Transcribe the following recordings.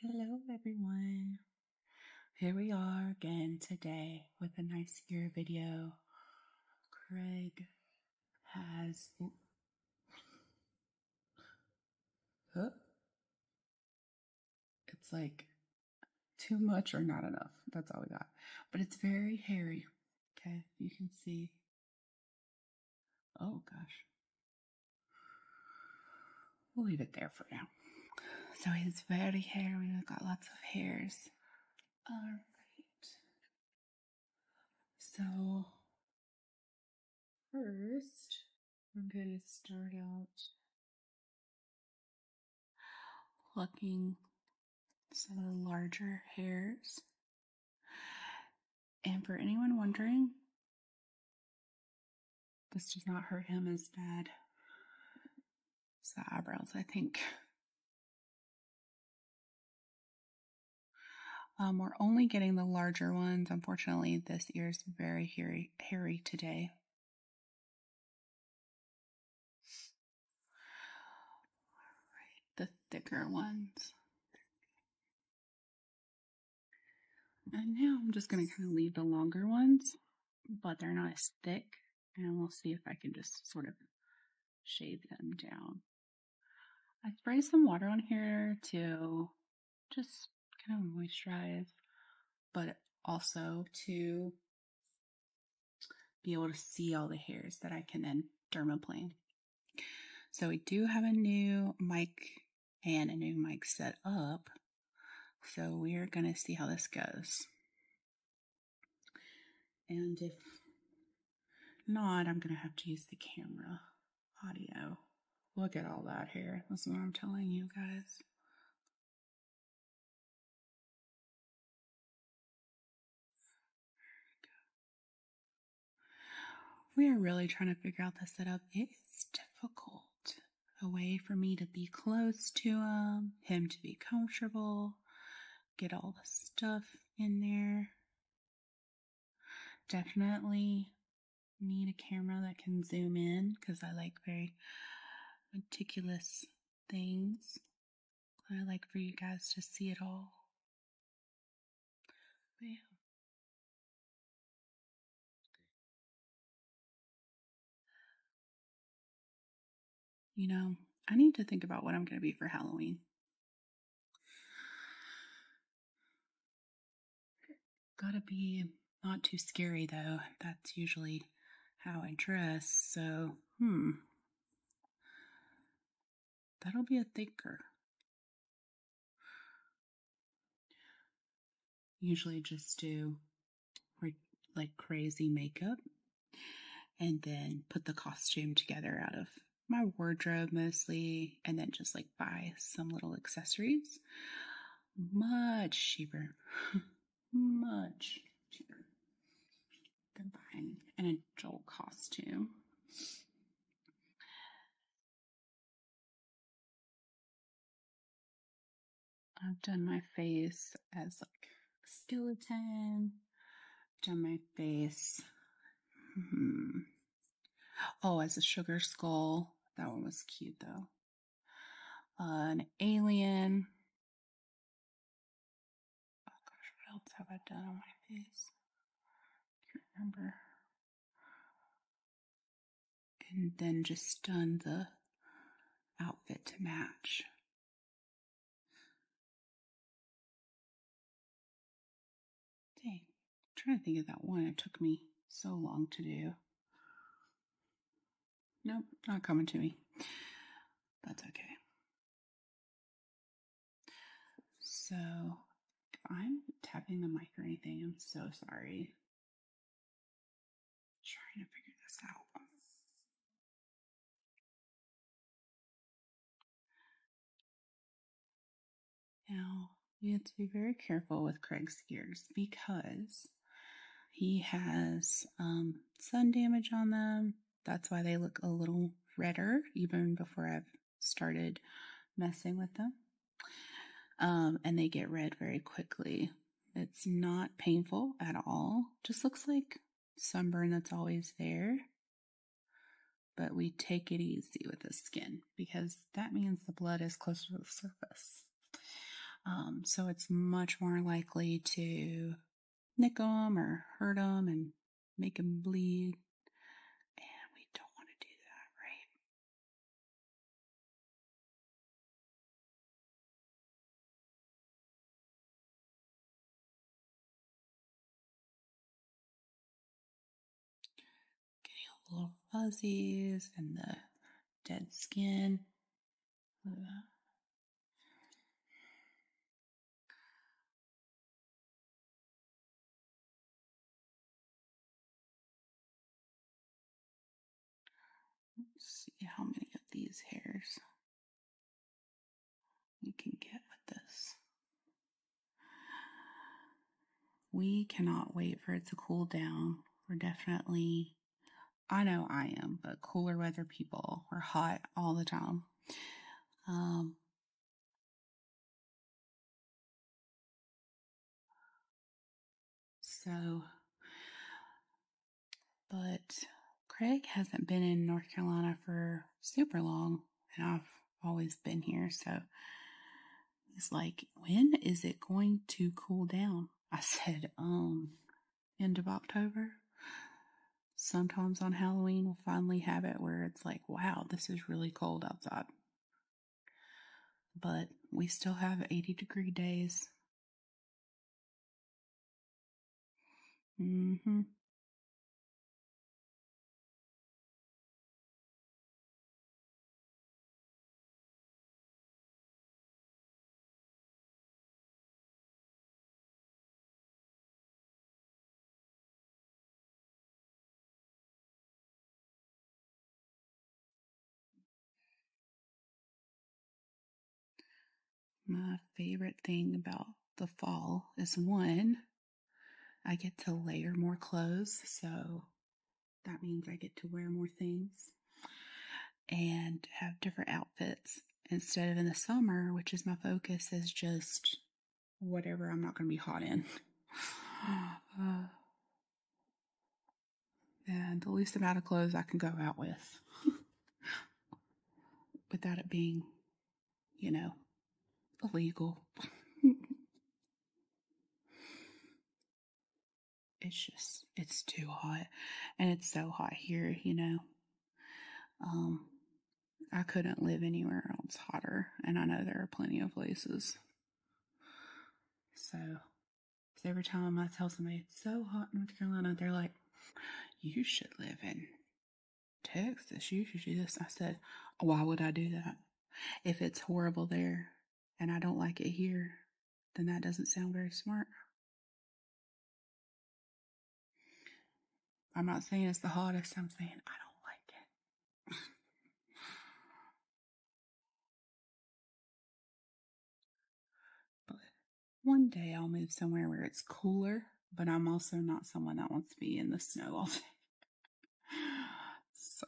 Hello, everyone. Here we are again today with a nice ear video. Craig has. It's like too much or not enough. That's all we got. But it's very hairy. Okay, you can see Oh gosh. We'll leave it there for now. So he's very hairy, he's got lots of hairs. Alright. So first I'm gonna start out plucking some of the larger hairs and for anyone wondering, this does not hurt him as bad as the eyebrows, I think. Um, we're only getting the larger ones. Unfortunately, this ear is very hairy, hairy today. All right, the thicker ones. And now I'm just going to kind of leave the longer ones, but they're not as thick. And we'll see if I can just sort of shave them down. I spray some water on here to just kind of moisturize, but also to be able to see all the hairs that I can then dermaplane. So we do have a new mic and a new mic set up. So we're going to see how this goes. And if not, I'm going to have to use the camera audio. Look at all that hair. That's what I'm telling you guys. We are really trying to figure out the setup. It is difficult. A way for me to be close to him, him to be comfortable, get all the stuff in there. Definitely need a camera that can zoom in because I like very meticulous things. I like for you guys to see it all. Yeah. You know, I need to think about what I'm going to be for Halloween. Gotta be not too scary, though. That's usually how I dress, so, hmm. That'll be a thinker. Usually just do like crazy makeup and then put the costume together out of my wardrobe mostly and then just like buy some little accessories. Much cheaper. Much cheaper than buying an adult costume. I've done my face as like skeleton. done my face. Hmm. Oh, as a sugar skull. That one was cute though. an alien. Oh gosh, what else have I done on my face? can't remember and then just done the outfit to match. Dang, trying to think of that one. It took me so long to do. Nope, not coming to me. That's okay. So if I'm tapping the mic or anything, I'm so sorry. trying to figure this out. Now, we have to be very careful with Craig's gears because he has um, sun damage on them. That's why they look a little redder even before I've started messing with them. Um, and they get red very quickly. It's not painful at all. Just looks like sunburn that's always there. But we take it easy with the skin because that means the blood is closer to the surface. Um, so it's much more likely to nick them or hurt them and make them bleed. And we don't want to do that, right? Getting all little fuzzies and the dead skin. Let's see how many of these hairs we can get with this. We cannot wait for it to cool down. We're definitely, I know I am, but cooler weather people. We're hot all the time. Um, so, but Craig hasn't been in North Carolina for super long, and I've always been here. So he's like, When is it going to cool down? I said, Um, end of October. Sometimes on Halloween, we'll finally have it where it's like, Wow, this is really cold outside. But we still have 80 degree days. Mm-hmm. My favorite thing about the fall is one, I get to layer more clothes, so that means I get to wear more things and have different outfits instead of in the summer, which is my focus, is just whatever I'm not going to be hot in. and the least amount of clothes I can go out with without it being, you know, illegal. it's just, it's too hot. And it's so hot here, you know. Um, I couldn't live anywhere else hotter. And I know there are plenty of places. So, every time I tell somebody it's so hot in North Carolina, they're like, you should live in Texas. You should do this. I said, why would I do that? If it's horrible there and I don't like it here, then that doesn't sound very smart. I'm not saying it's the hottest, I'm saying I don't like it. But one day I'll move somewhere where it's cooler, but I'm also not someone that wants to be in the snow all day. so.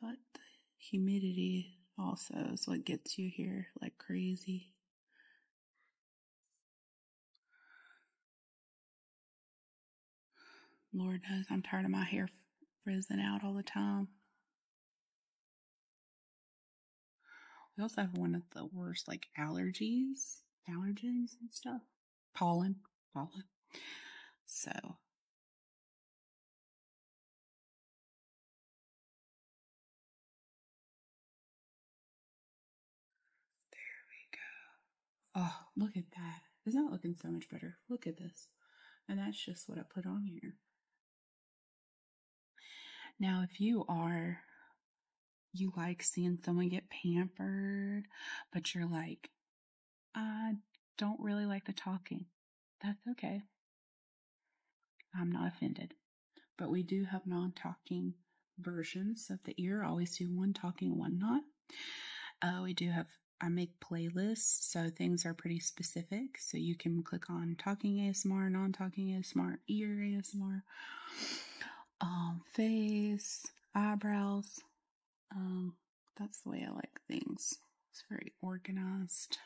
But the humidity also is what gets you here like crazy. Lord knows I'm tired of my hair frizzing out all the time. We also have one of the worst, like allergies, allergens and stuff. Pollen, pollen. So there we go. Oh, look at that. It's not looking so much better. Look at this. And that's just what I put on here. Now, if you are, you like seeing someone get pampered, but you're like, I don't really like the talking that's okay. I'm not offended. But we do have non talking versions of the ear. always do one talking, one not. Uh, we do have, I make playlists, so things are pretty specific. So you can click on talking ASMR, non talking ASMR, ear ASMR, um, face, eyebrows. Um, that's the way I like things. It's very organized.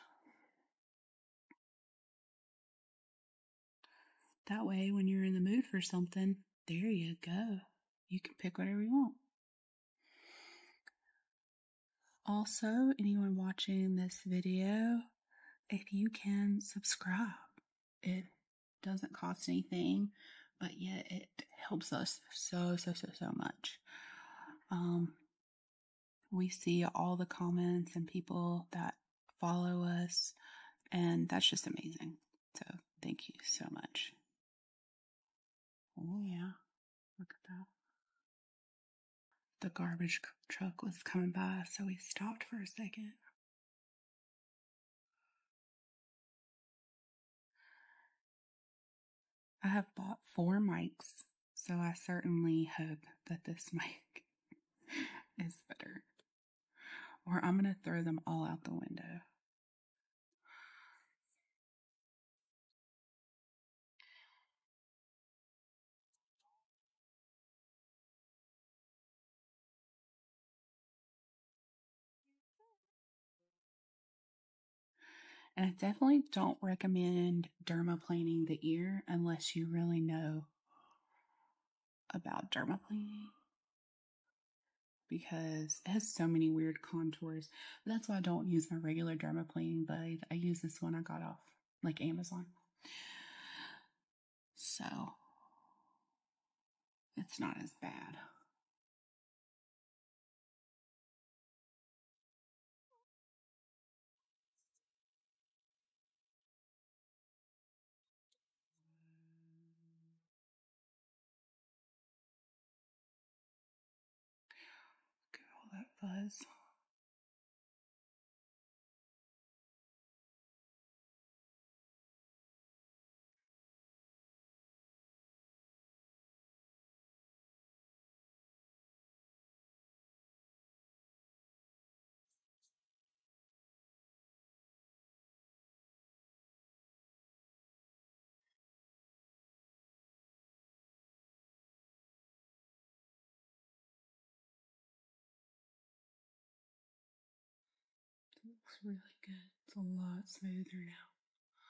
That way, when you're in the mood for something, there you go. You can pick whatever you want. Also, anyone watching this video, if you can subscribe, it doesn't cost anything, but yet it helps us so, so, so, so much. Um, we see all the comments and people that follow us, and that's just amazing. So, thank you so much. Oh, yeah, look at that. The garbage truck was coming by, so we stopped for a second. I have bought four mics, so I certainly hope that this mic is better. Or I'm going to throw them all out the window. And I definitely don't recommend dermaplaning the ear unless you really know about dermaplaning because it has so many weird contours. That's why I don't use my regular dermaplaning blade. I use this one I got off like Amazon. So it's not as bad. Look at all that fuzz. It looks really good. It's a lot smoother now.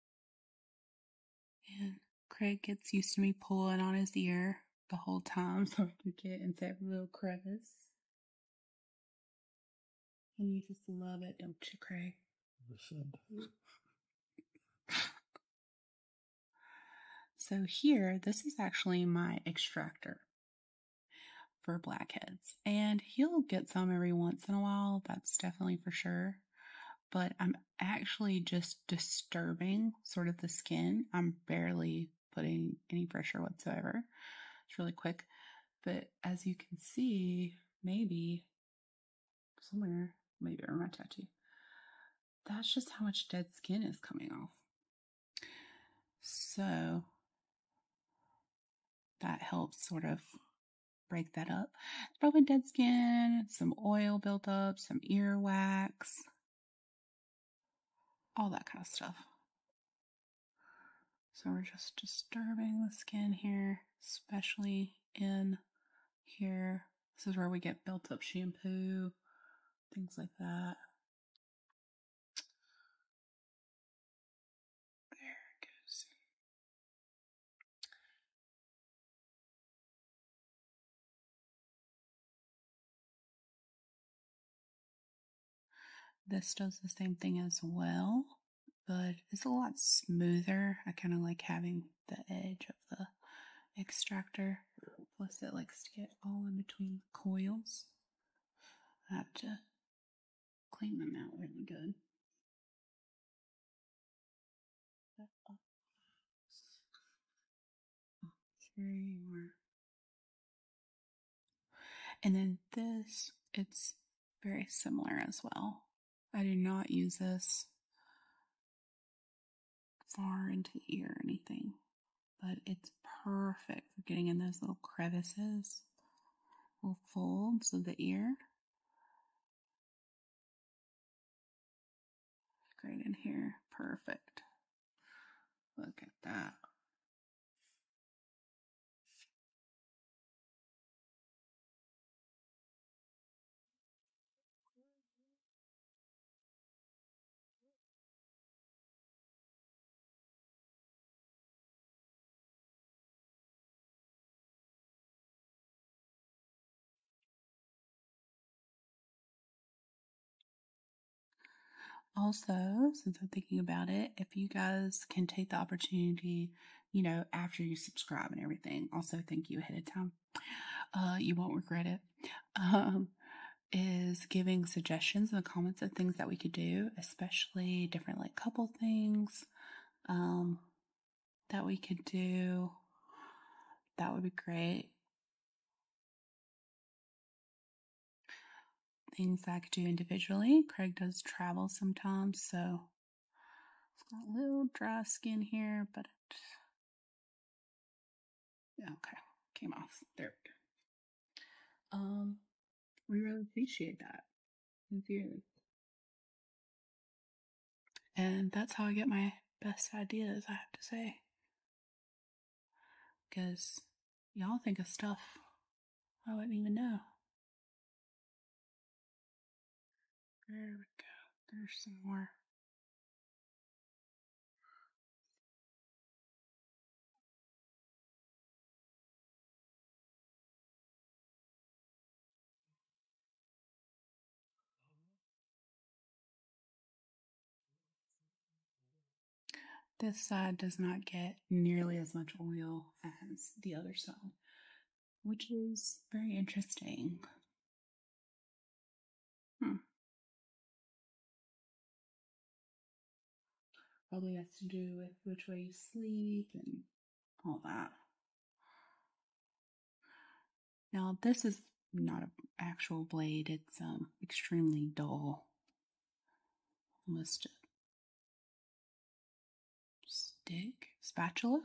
And Craig gets used to me pulling on his ear the whole time so I can get into every little crevice. And you just love it, don't you, Craig? So here, this is actually my extractor for blackheads. And he'll get some every once in a while, that's definitely for sure. But I'm actually just disturbing sort of the skin. I'm barely putting any pressure whatsoever. It's really quick. But as you can see, maybe somewhere, maybe around my tattoo, that's just how much dead skin is coming off. So that helps sort of break that up probably dead skin, some oil built up, some earwax, all that kind of stuff. So we're just disturbing the skin here, especially in here. This is where we get built up shampoo, things like that. There it goes. This does the same thing as well, but it's a lot smoother. I kind of like having the edge of the extractor, plus it likes to get all in between the coils. I have to clean them out really good. And then this, it's very similar as well. I do not use this far into the ear or anything, but it's perfect for getting in those little crevices, little folds of the ear. Great in here. Perfect. Look at that. Also, since I'm thinking about it, if you guys can take the opportunity, you know, after you subscribe and everything, also thank you ahead of time. Uh, you won't regret it. Um, is giving suggestions in the comments of things that we could do, especially different like couple things, um, that we could do. That would be great. Things I could do individually. Craig does travel sometimes, so it's got a little dry skin here, but it... okay, came off. There we Um, we really appreciate that sincerely. And that's how I get my best ideas, I have to say. Because y'all think of stuff I wouldn't even know. There we go. There's some more. Uh-huh. This side does not get nearly as much oil as the other side, which is very interesting. Hmm. Probably has to do with which way you sleep and all that. Now this is not an actual blade. It's um, extremely dull, almost a stick spatula.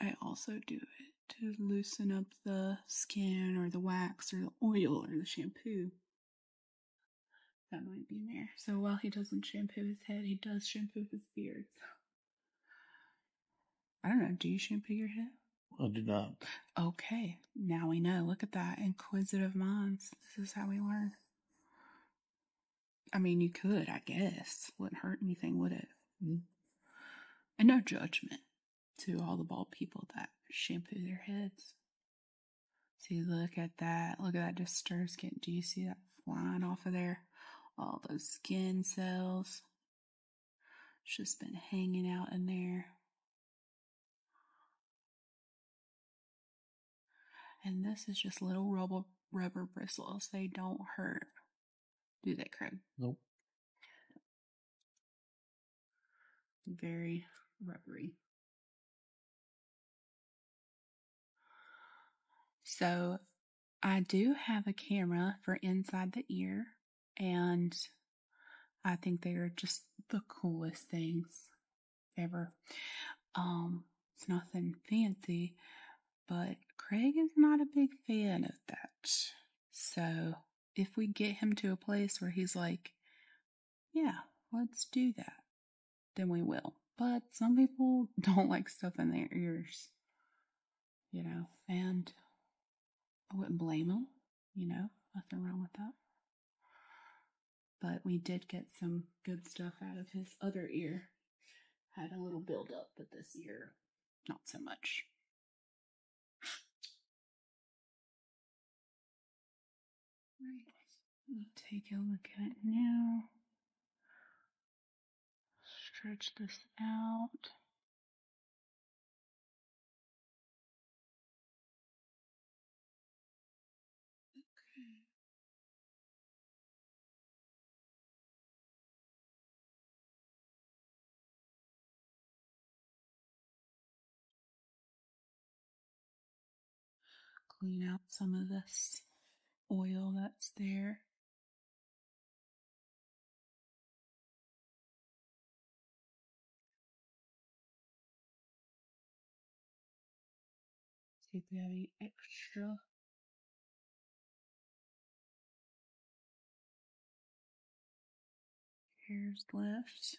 I also do it to loosen up the skin or the wax or the oil or the shampoo that might be in there. So while he doesn't shampoo his head, he does shampoo his beard. I don't know. Do you shampoo your head? I do not. Okay. Now we know. Look at that. Inquisitive minds. This is how we learn. I mean, you could, I guess. Wouldn't hurt anything, would it? Mm-hmm. And no judgment to all the bald people that shampoo their heads. See, look at that. Look at that disturbed skin. Do you see that flying off of there? all those skin cells. just been hanging out in there. And this is just little rubber, rubber bristles. They don't hurt. Do they, Craig? Nope. Very rubbery. So I do have a camera for inside the ear, and I think they are just the coolest things ever. Um, it's nothing fancy, but Craig is not a big fan of that. So if we get him to a place where he's like, yeah, let's do that, then we will. But some people don't like stuff in their ears you know, and I wouldn't blame him. you know, nothing wrong with that. But we did get some good stuff out of his other ear. Had a little build up, but this ear, not so much. Right, we'll take a look at it now stretch this out. Okay. Clean out some of this oil that's there. See if we have any extra. Hairs left.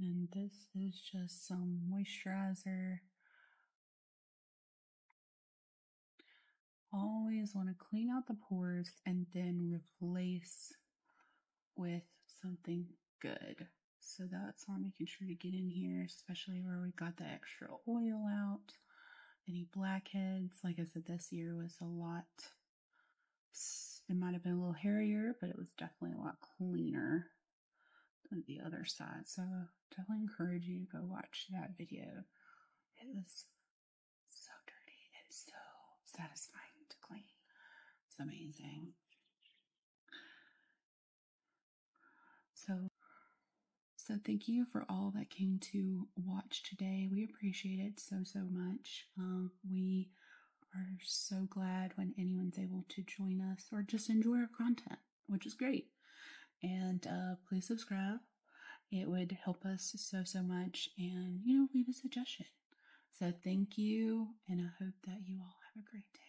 And this is just some moisturizer. Always want to clean out the pores and then replace with something good. So that's why I'm making sure to get in here, especially where we got the extra oil out any blackheads. Like I said, this year was a lot. It might have been a little hairier, but it was definitely a lot cleaner than the other side. So definitely encourage you to go watch that video. It was so dirty and so satisfying to clean. It's amazing. So, so thank you for all that came to watch today. We appreciate it so, so much. Um, we are so glad when anyone's able to join us or just enjoy our content, which is great. And uh, please subscribe. It would help us so, so much. And, you know, leave a suggestion. So thank you. And I hope that you all have a great day.